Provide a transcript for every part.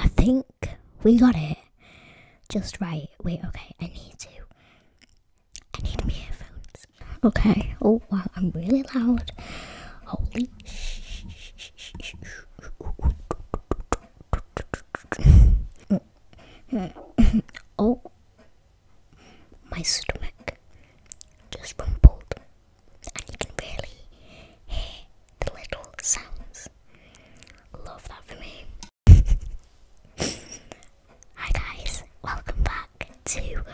I think we got it just right. Wait, okay, I need to. I need my earphones. Okay. Oh wow, I'm really loud. Holy. shh oh. my stomach just rumbled, and you can really hear the little sounds. Love that for me. Hi guys, welcome back to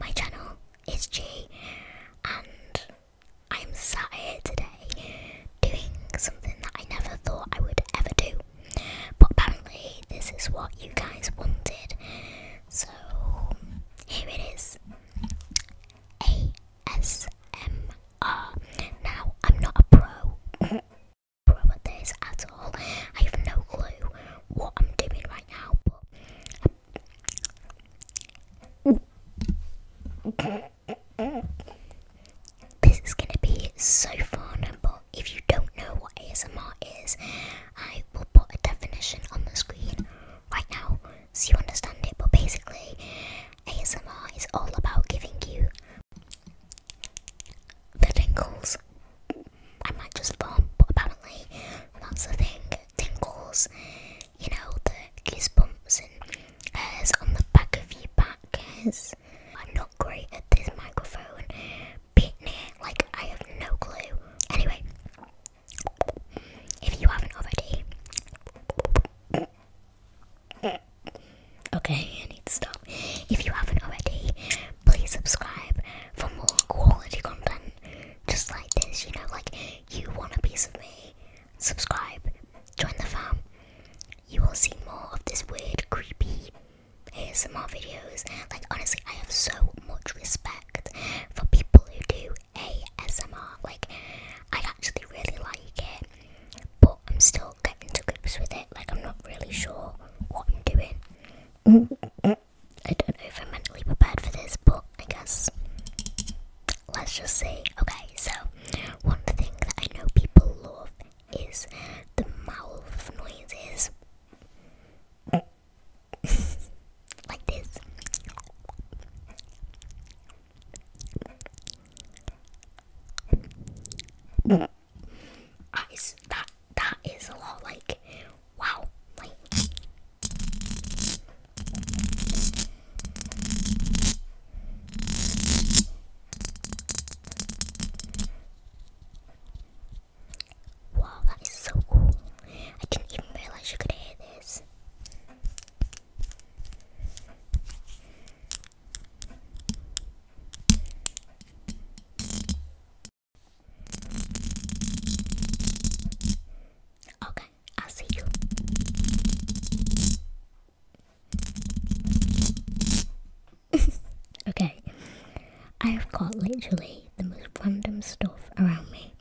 my channel it's G, and I'm sat here today doing something that I never thought I would ever do. But apparently, this is what you guys wanted, so here it is ASMR. Now, I'm not a pro. pro at this at all. I have no clue what I'm doing right now, this is going to be so fun, but if you don't know what ASMR is, I will put a definition on the screen right now so you understand it. But basically, ASMR is all about giving you the tingles. I might just bump, apparently. And that's the thing. Tingles, you know, the goose and hairs on the back of your back hairs. I'm not great at this microphone. Bit near, like I have no clue. Anyway, if you haven't already, okay, I need to stop. If you haven't already, please subscribe for more quality content just like this, you know, like you want a piece of me, subscribe, join the fam. You will see more of this weird, creepy ASMR videos. Like, honestly, I have so much respect for people who do ASMR. Like, I actually really like it, but I'm still getting to grips with it. Like, I'm not really sure what I'm doing. I don't know if I'm mentally prepared for this, but I guess let's just see. Okay, so one thing that I know people love is the mouth noises. like this. That is that that is a lot like Wow. Wow, that is so cool. I didn't even realize you could hear this. Okay, I'll see you. okay, I have got literally the most random stuff around me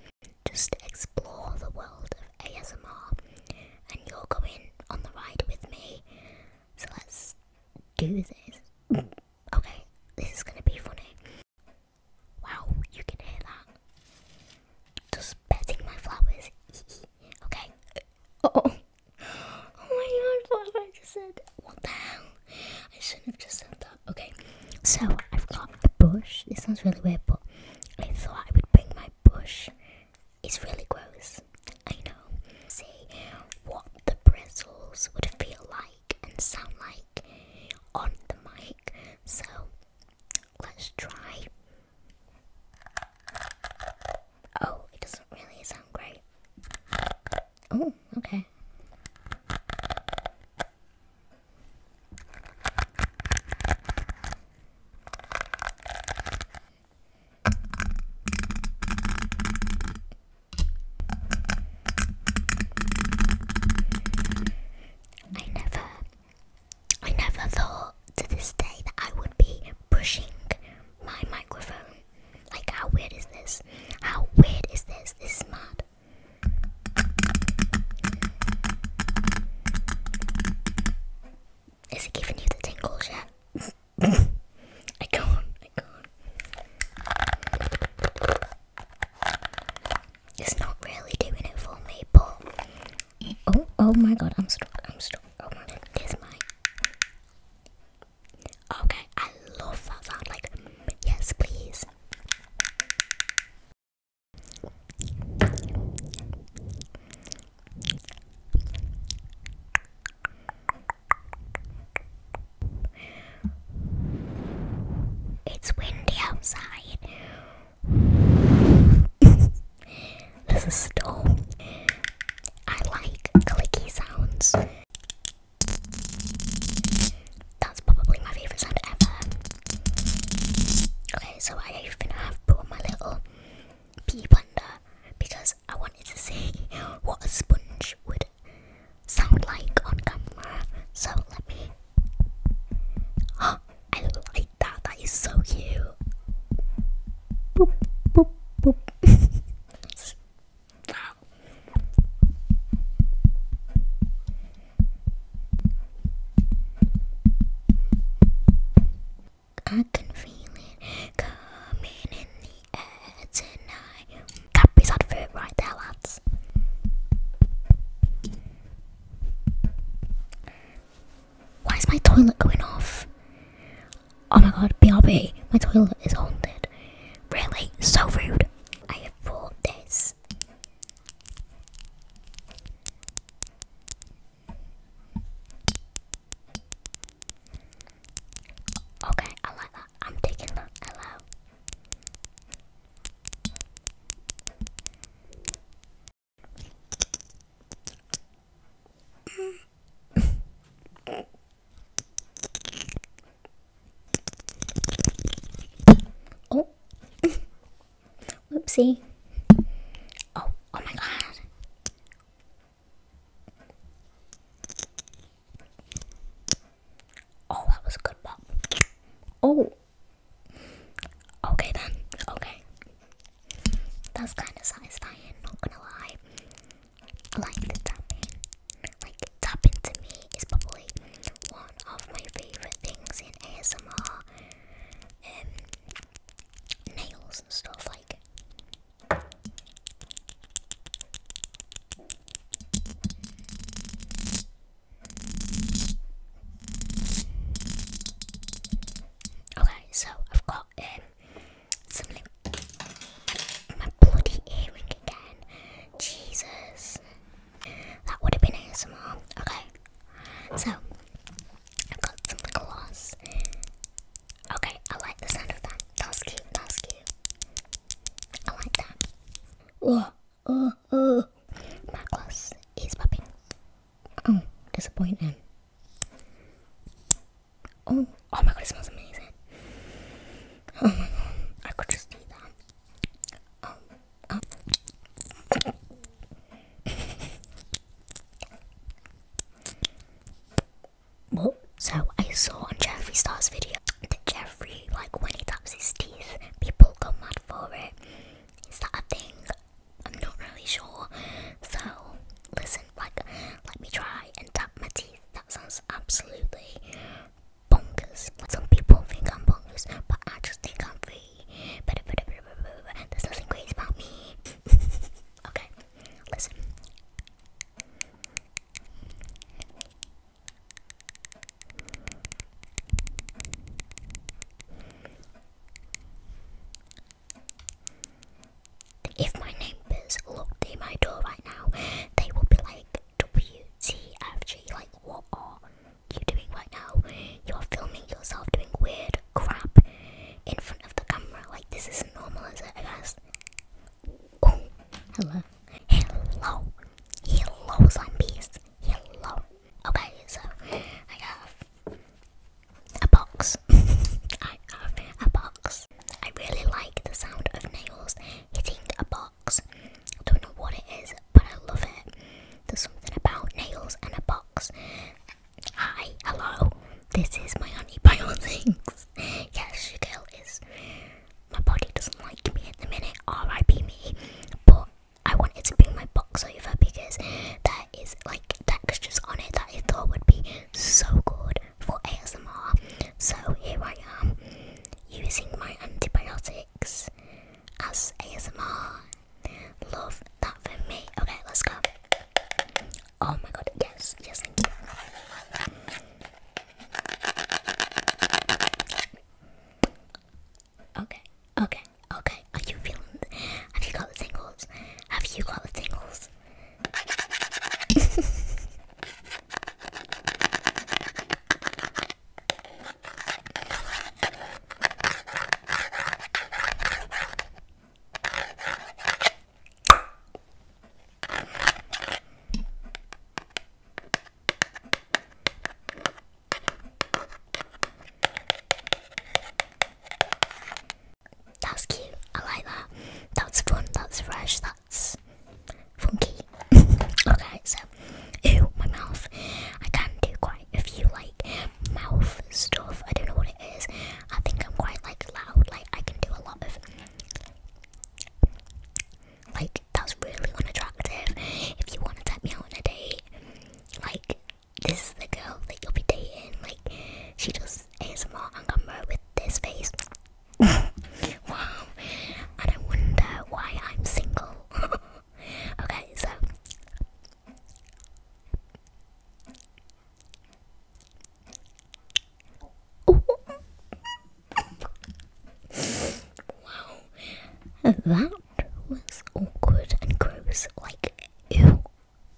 just explore the world of ASMR, and you're going on the ride with me, so let's do this. Okay, this is gonna be funny. Wow, you can hear that. Just petting my flowers. okay. oh. Oh my god, what I just said? What the hell? I shouldn't have just said that. Okay, so I've got a bush. This sounds really weird, but I thought I would bring my bush. It's really gross. I know. See what the bristles would feel like and sound like on the mic. So let's try. Oh, it doesn't really sound great. Oh, okay. I never, I never thought to this day that I would be pushing my microphone. Like, how weird is this? How weird is this? This is mad. Is it giving you the tingles yet? I can't. It's not really doing it for me, but oh, oh my god, I'm stuck. I'm stuck. Oh my god, there's my. Okay, I love that sound. Like, yes, please. It's windy outside. There's a storm. I like clicky sounds. That's probably my favourite sound ever. Okay, so I even have brought my little pea blender because I wanted to see what a sponge would sound like on camera. So let me. Oh, I like that. That is so cute. Boop, boop, boop. wow. I can feel it coming in tonight. Cadbury's had right there, lads. Why is my toilet going off? Oh my god, BRB, my toilet is haunted. Really? So rude. I have bought this. Okay, I like that. I'm taking that. Hello. oh. Whoopsie. Oh, oh my god. Oh, that was a good pop. Oh. Okay then. Okay. That's kind of satisfying, not gonna lie. I like the tapping. Like, tapping to me is probably one of my favourite things in ASMR. Um, nails and stuff like Okay, so I've got um something. My bloody earring again. Jesus. That would have been ASMR. Okay. So I've got some gloss. Okay, I like the sound of that. That was cute, that was cute. I like that. Oh, oh, oh. My glass is popping. Oh, disappointing. Oh, oh my god, it smells amazing. Oh my god, I could just eat that. Oh, oh. Well, so I saw on Jeffree Star's video that Jeffree, like when he taps his teeth, people go mad for it. Is that a thing? I'm not really sure. So listen, like, let me try and tap my teeth. That sounds absolutely bonkers. some people think I'm bonkers, but I just think I'm free. But there's nothing crazy about me. okay, listen. If my neighbours looked at my door right now, they would be like, WTFG, like, what are you doing right now? You're filming yourself doing weird crap in front of the camera. Like, this is normal, as it? Oh, hello. Hello. Hello, zombies. Hello. Okay, so I have a box. I have a box. I really like the sound of nails hitting a box. I don't know what it is, but I love it. There's something about nails and a box. Hi, hello. This is my honey pile things. Yes, your girl is. My body doesn't like me in the minute, RIP me. But I wanted to bring my box over because there is like textures on it that I thought would be so good for ASMR. So here I am using my antibiotics as ASMR. Love that for me. Okay, let's go. Oh my god, yes, yes, thank you. Okay, okay, okay. Are you feeling have you got the tingles? Have you got the tingles? That's cute. I like that. That's fun. That's fresh. That's funky. okay, so ooh, my mouth. I can do quite a few like mouth stuff. I don't know what it is. I think I'm quite like loud. Like I can do a lot of like, that was really unattractive. If you want to take me out on a date, like, this is the girl that you'll be dating. Like, she does ASMR on camera with this face. wow. And I wonder why I'm single. okay, so wow, that was awkward and gross. Like, ew.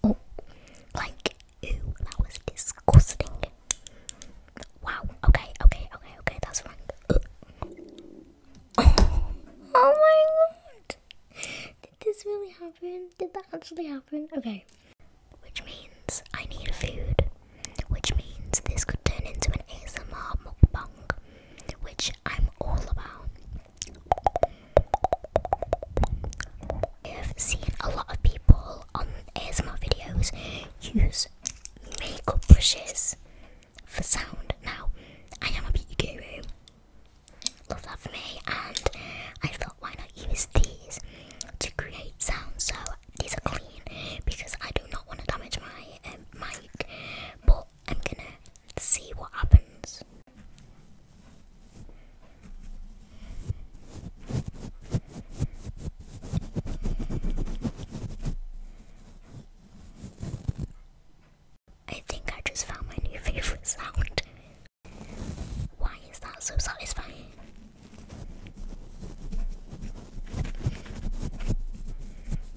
Oh, like, ew, that was disgusting. Wow, okay, okay, okay, okay, that's fine. Oh. my god! Did this really happen? Did that actually happen? Okay. Which means I need food. Which means this could turn into an ASMR mukbang, which I'm all about. I've seen a lot of people on ASMR videos use makeup brushes for sound. Now, I am a beauty guru love me and I thought why not use these to create sounds so these are clean because I do not want to damage my um, mic but I'm gonna see what happens. I think I just found my new favourite sound. Why is that so satisfying?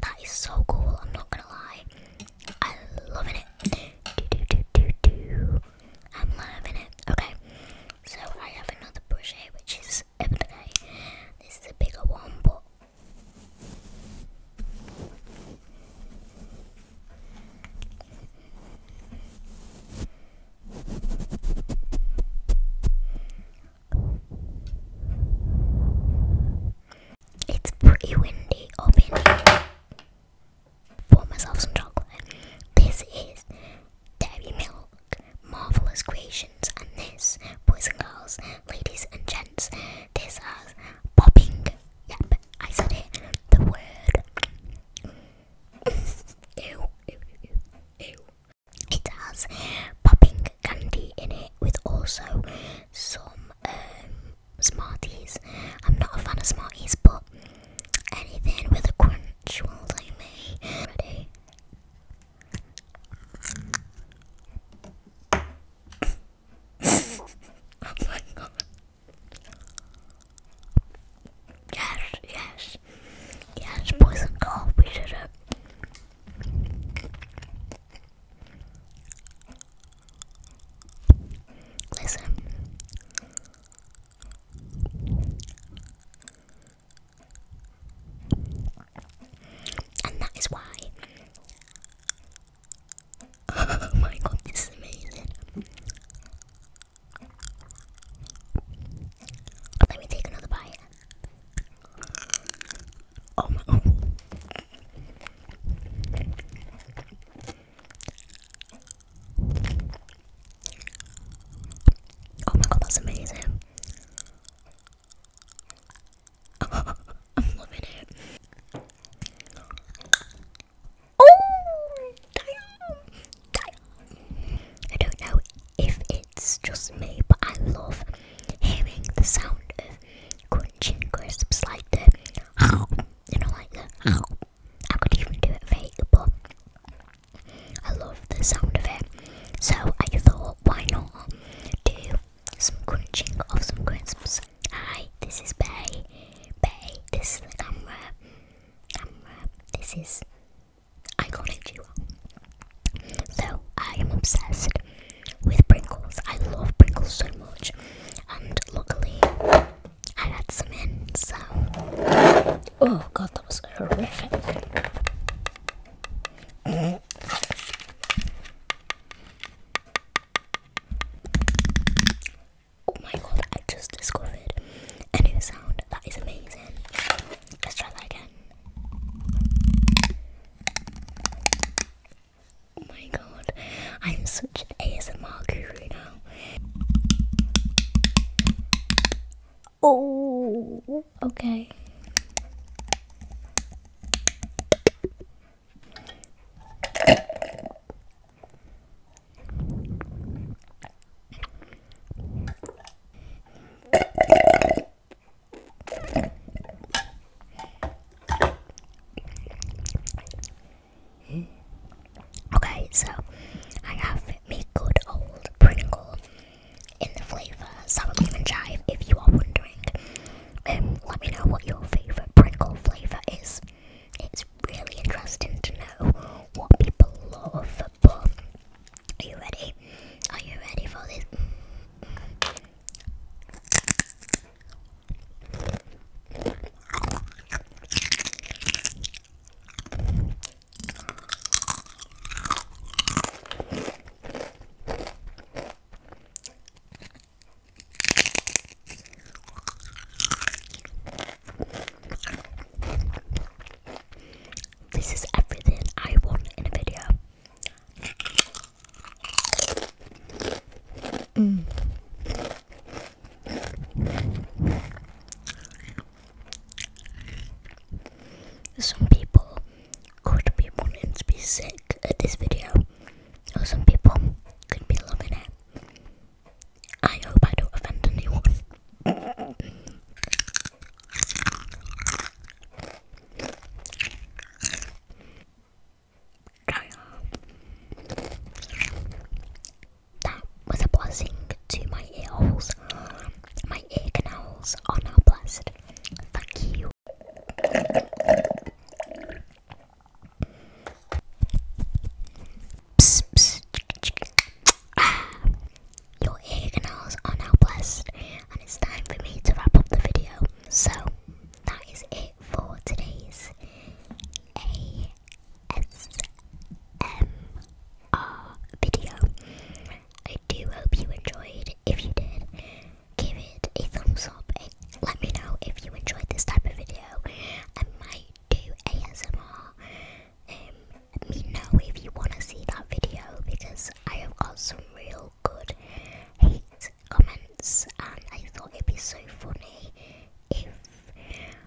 That is so cool, I'm not gonna lie. I'm loving it. I'm loving it. Okay, so I have another brush here, which is everyday. This is a bigger one, but it's pretty windy up Pour myself some chocolate. This is Dairy Milk, Marvelous Creations, and this, boys and girls, ladies and gents, this is popping. Yep, I said it. The word. It has popping candy in it with also some um, Smarties. I'm not a fan of Smarties, but anything with a crunch will do me. oh my god. Yes, yes, yes, boys and girls, we did it. Listen. And that is why. Oh my god, this is amazing. Let me take another bite. Oh my. Oh. oh my god, that's amazing. I'm loving it. Oh, I don't know if it's just me, but I love hearing the sound of crunching crisps like the you know, like the I could even do it fake, but I love the sound of it. So I thought, why not do some crunching of some crisps Hi, this is Bay. Bay, this is the camera. Camera, this is I iconic duo. So, I am obsessed with Pringles. I love Pringles so much. And luckily, I had some in, so. Oh god, that was horrific. Oh my god, I just discovered a new sound. That is amazing. Let's try that again. Oh my god, I'm such an ASMR guru now. Oh, okay. Okay, so I have me good old Pringle in the flavour sour cream and chive. If you are wondering, um, let me know what your favourite Pringle flavour is it's really interesting to know what people love football. Are you ready? Are you ready for this? This is everything I want in a video. Mm. Some people could be wanting to be sick at this video, or some people could be loving it. I hope I don't offend anyone. That was to my ear holes. My ear canals are now blessed. Thank you. Ah, your ear canals now blessed, and it's time for me to wrap up the video. So, that is it for today's ASMR video. I do hope you enjoyed. If you did, give it a thumbs up, a let me know if you enjoyed this type of video. I might do ASMR. Um, let me know if you want to see that video because I have got some real good hate comments and I thought it'd be so funny if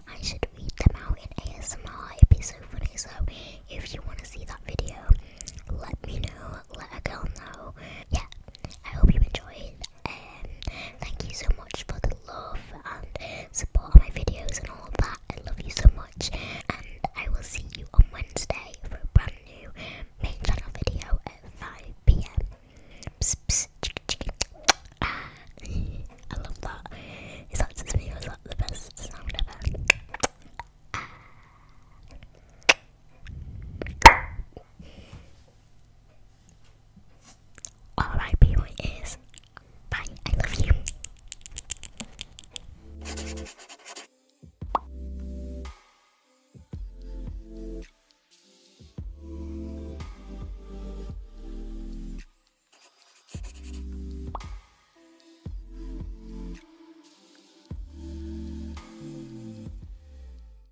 I should read them out in ASMR. It'd be so funny. So if you want to see that video, let me know, let a girl know. Yeah, I hope you enjoyed um, thank you so much for the love and support on my videos and all of that. I love you so much, and I will see you on Wednesday for a brand new main channel video at 5 pm. Psst, psst, chicken, chicken. Ah, I love that. Is that just me or is that the best sound ever? Ah. Alright, people, it is. Bye, I love you.